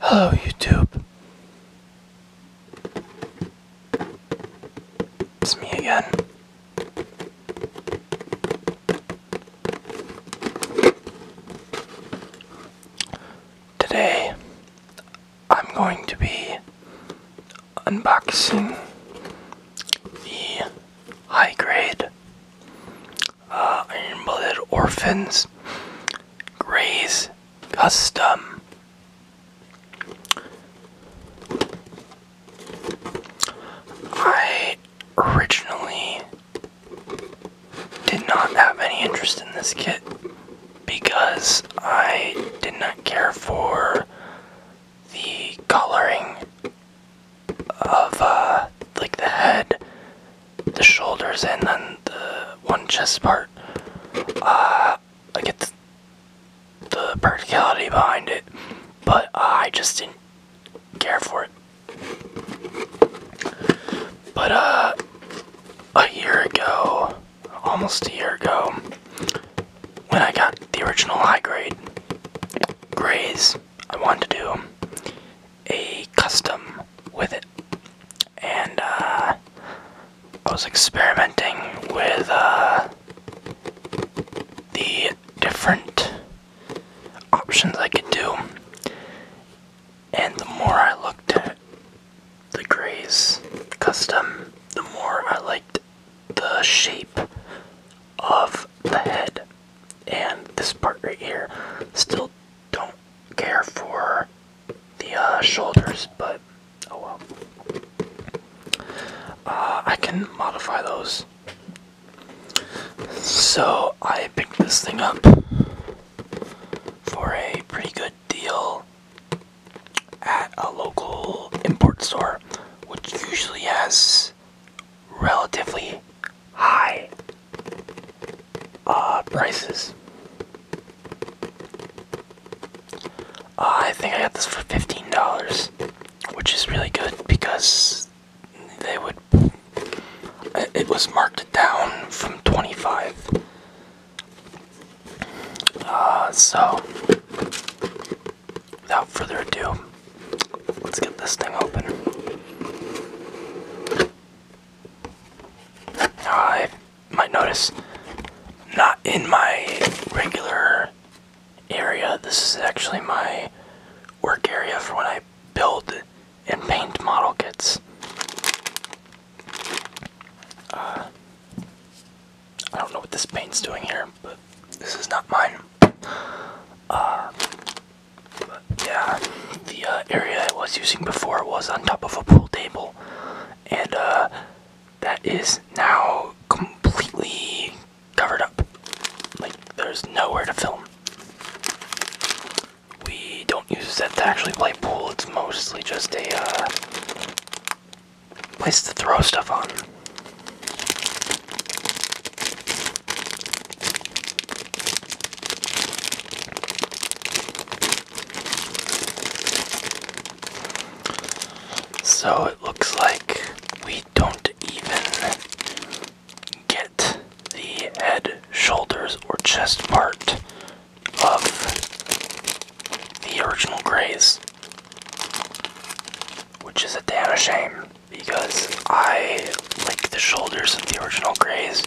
Hello YouTube. It's me again. Today I'm going to be unboxing the high grade uh, Iron Blooded Orphans, Gray's Custom, I originally did not have any interest in this kit because I did not care for the coloring of uh, like the head the shoulders and then the one chest part. Uh, I get the, practicality behind it, but uh, I just didn't care for it. But uh, a year ago, almost a year ago, when I got the original high grade grades I wanted to do, a custom with it, and uh, I was experimenting with uh, the different options I could do, and the more I looked at the grays custom, the more I liked the shape of the head and this part right here. Still don't care for the uh, shoulders, but oh well. Uh, I can modify those. So I picked this thing up for a pretty good deal at a local import store, which usually has relatively high uh, prices. Uh, I think I got this for $15, which is really good because they would. Uh, it was marked down from 25. so, without further ado, Let's get this thing open. Ah, I might notice not in my regular area. This is actually my work area for when I build and paint model kits. Uh, I don't know what this paint's doing here, but this is not mine. Uh, yeah, the uh, area I was using before was on top of a pool table, and uh, that is now completely covered up. Like, there's nowhere to film. We don't use that to actually play pool, it's mostly just a uh, place to throw stuff on. So it looks like we don't even get the head, shoulders, or chest part of the original Grace, which is a damn shame because I like the shoulders of the original grays,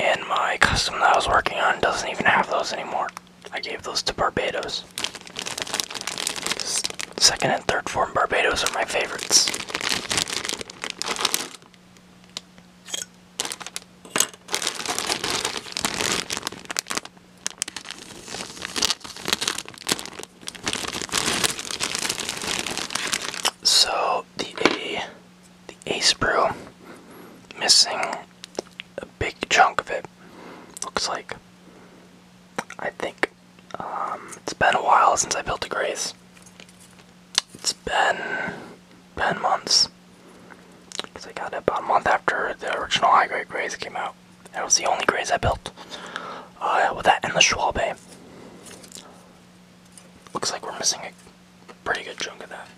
and my custom that I was working on doesn't even have those anymore. I gave those to Barbados. Second and third form Barbados are my favorites. So the A the ace brew missing a big chunk of it looks like I think um, it's been a while since I built a grace. It's been ten months because I got it about a month after the original high grade grace came out. That was the only graze I built. Uh, with that and the Schwalbe. Eh? Looks like we're missing a pretty good chunk of that.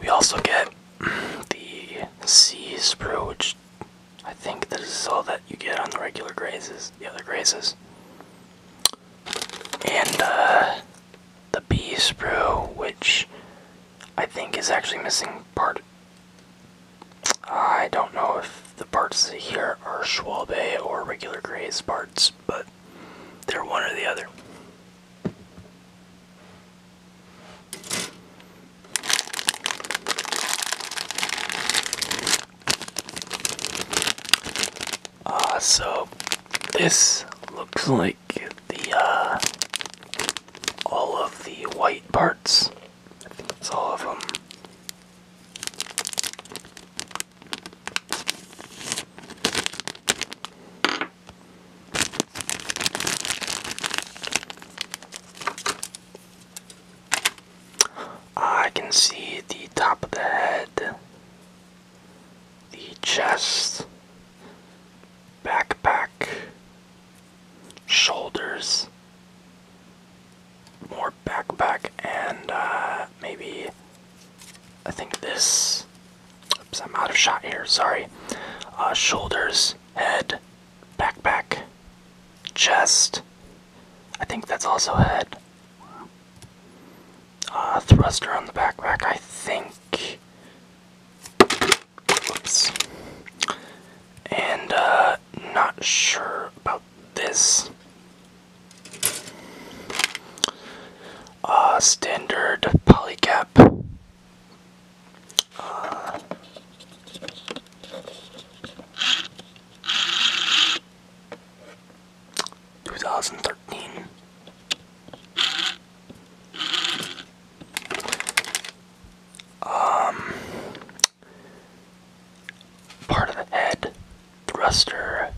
We also get the sea sprue, which I think this is all that you get on the regular grazes, the other grazes. And uh, the bees sprue, which I think is actually missing part. I don't know if the parts here are Schwalbe or regular Gray's parts, but they're one or the other. Uh, so this looks like the uh, all of the white parts. I think it's all of them. I can see the top of the head the chest, backpack, shoulders, more backpack, and uh, maybe I think this. Oops, I'm out of shot here, sorry. Uh, shoulders, head, backpack, chest. I think that's also head uh, thruster on the backpack, I think. And uh, not sure about this. Uh, standard polycap. Uh, 2013. Um, part of the head, thruster,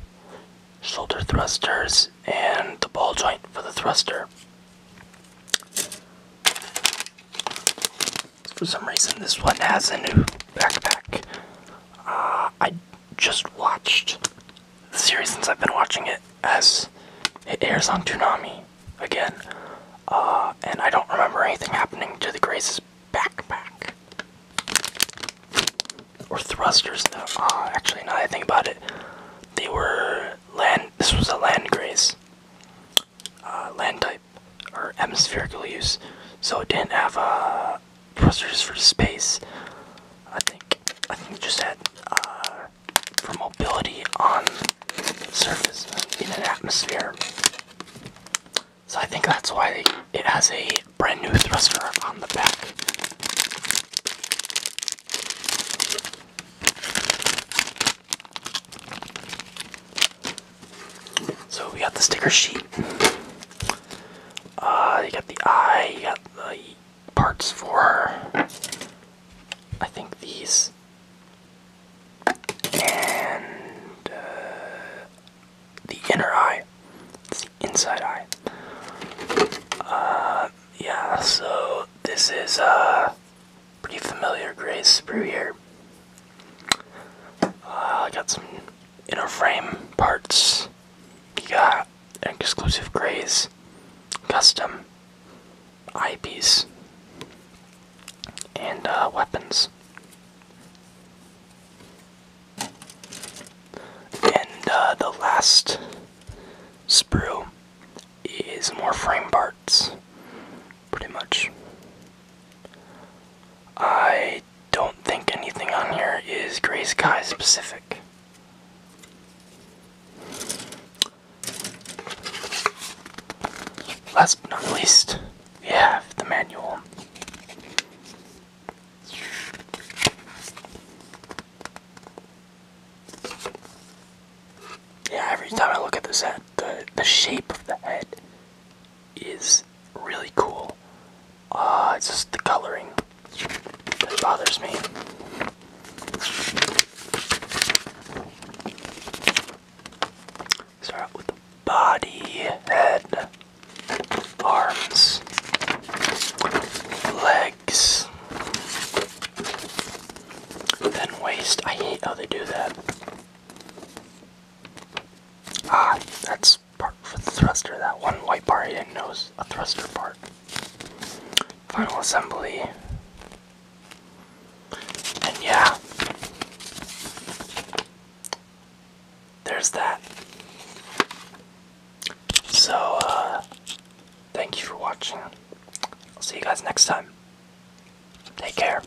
shoulder thrusters, and the ball joint for the thruster. For some reason, this one has a new backpack. Uh, I just watched the series since I've been watching it as it airs on Toonami again. Uh, and I don't remember anything happening to the Grace's backpack. Or thrusters, no. Uh, actually, now that I think about it, they were land, this was a land Grace. Uh, land type, or atmospheric use. So it didn't have a uh, thrusters for space. I think I think just had uh, for mobility on surface uh, in an atmosphere. So I think that's why it has a brand new thruster on the back. So we got the sticker sheet. Uh, you got the eye, you got the parts for, I think these, and uh, the inner eye, it's the inside eye. Uh, yeah, so this is a pretty familiar gray sprue here. Uh, I got some inner frame parts. You got exclusive grays, custom eyepiece, and uh, weapons. And uh, the last sprue is more frame parts, pretty much. I don't think anything on here is gray sky specific. Last but not least, we have the manual. Yeah, every time I look at this head, the, the shape of the head is really cool. Uh, it's just the coloring that bothers me. Start with the body, head, arms, legs, then waist. I hate how they do that. Ah, that's part for the thruster. That one white part I didn't a thruster part. Final assembly. And yeah. There's that. So, uh, thank you for watching. I'll see you guys next time. Take care.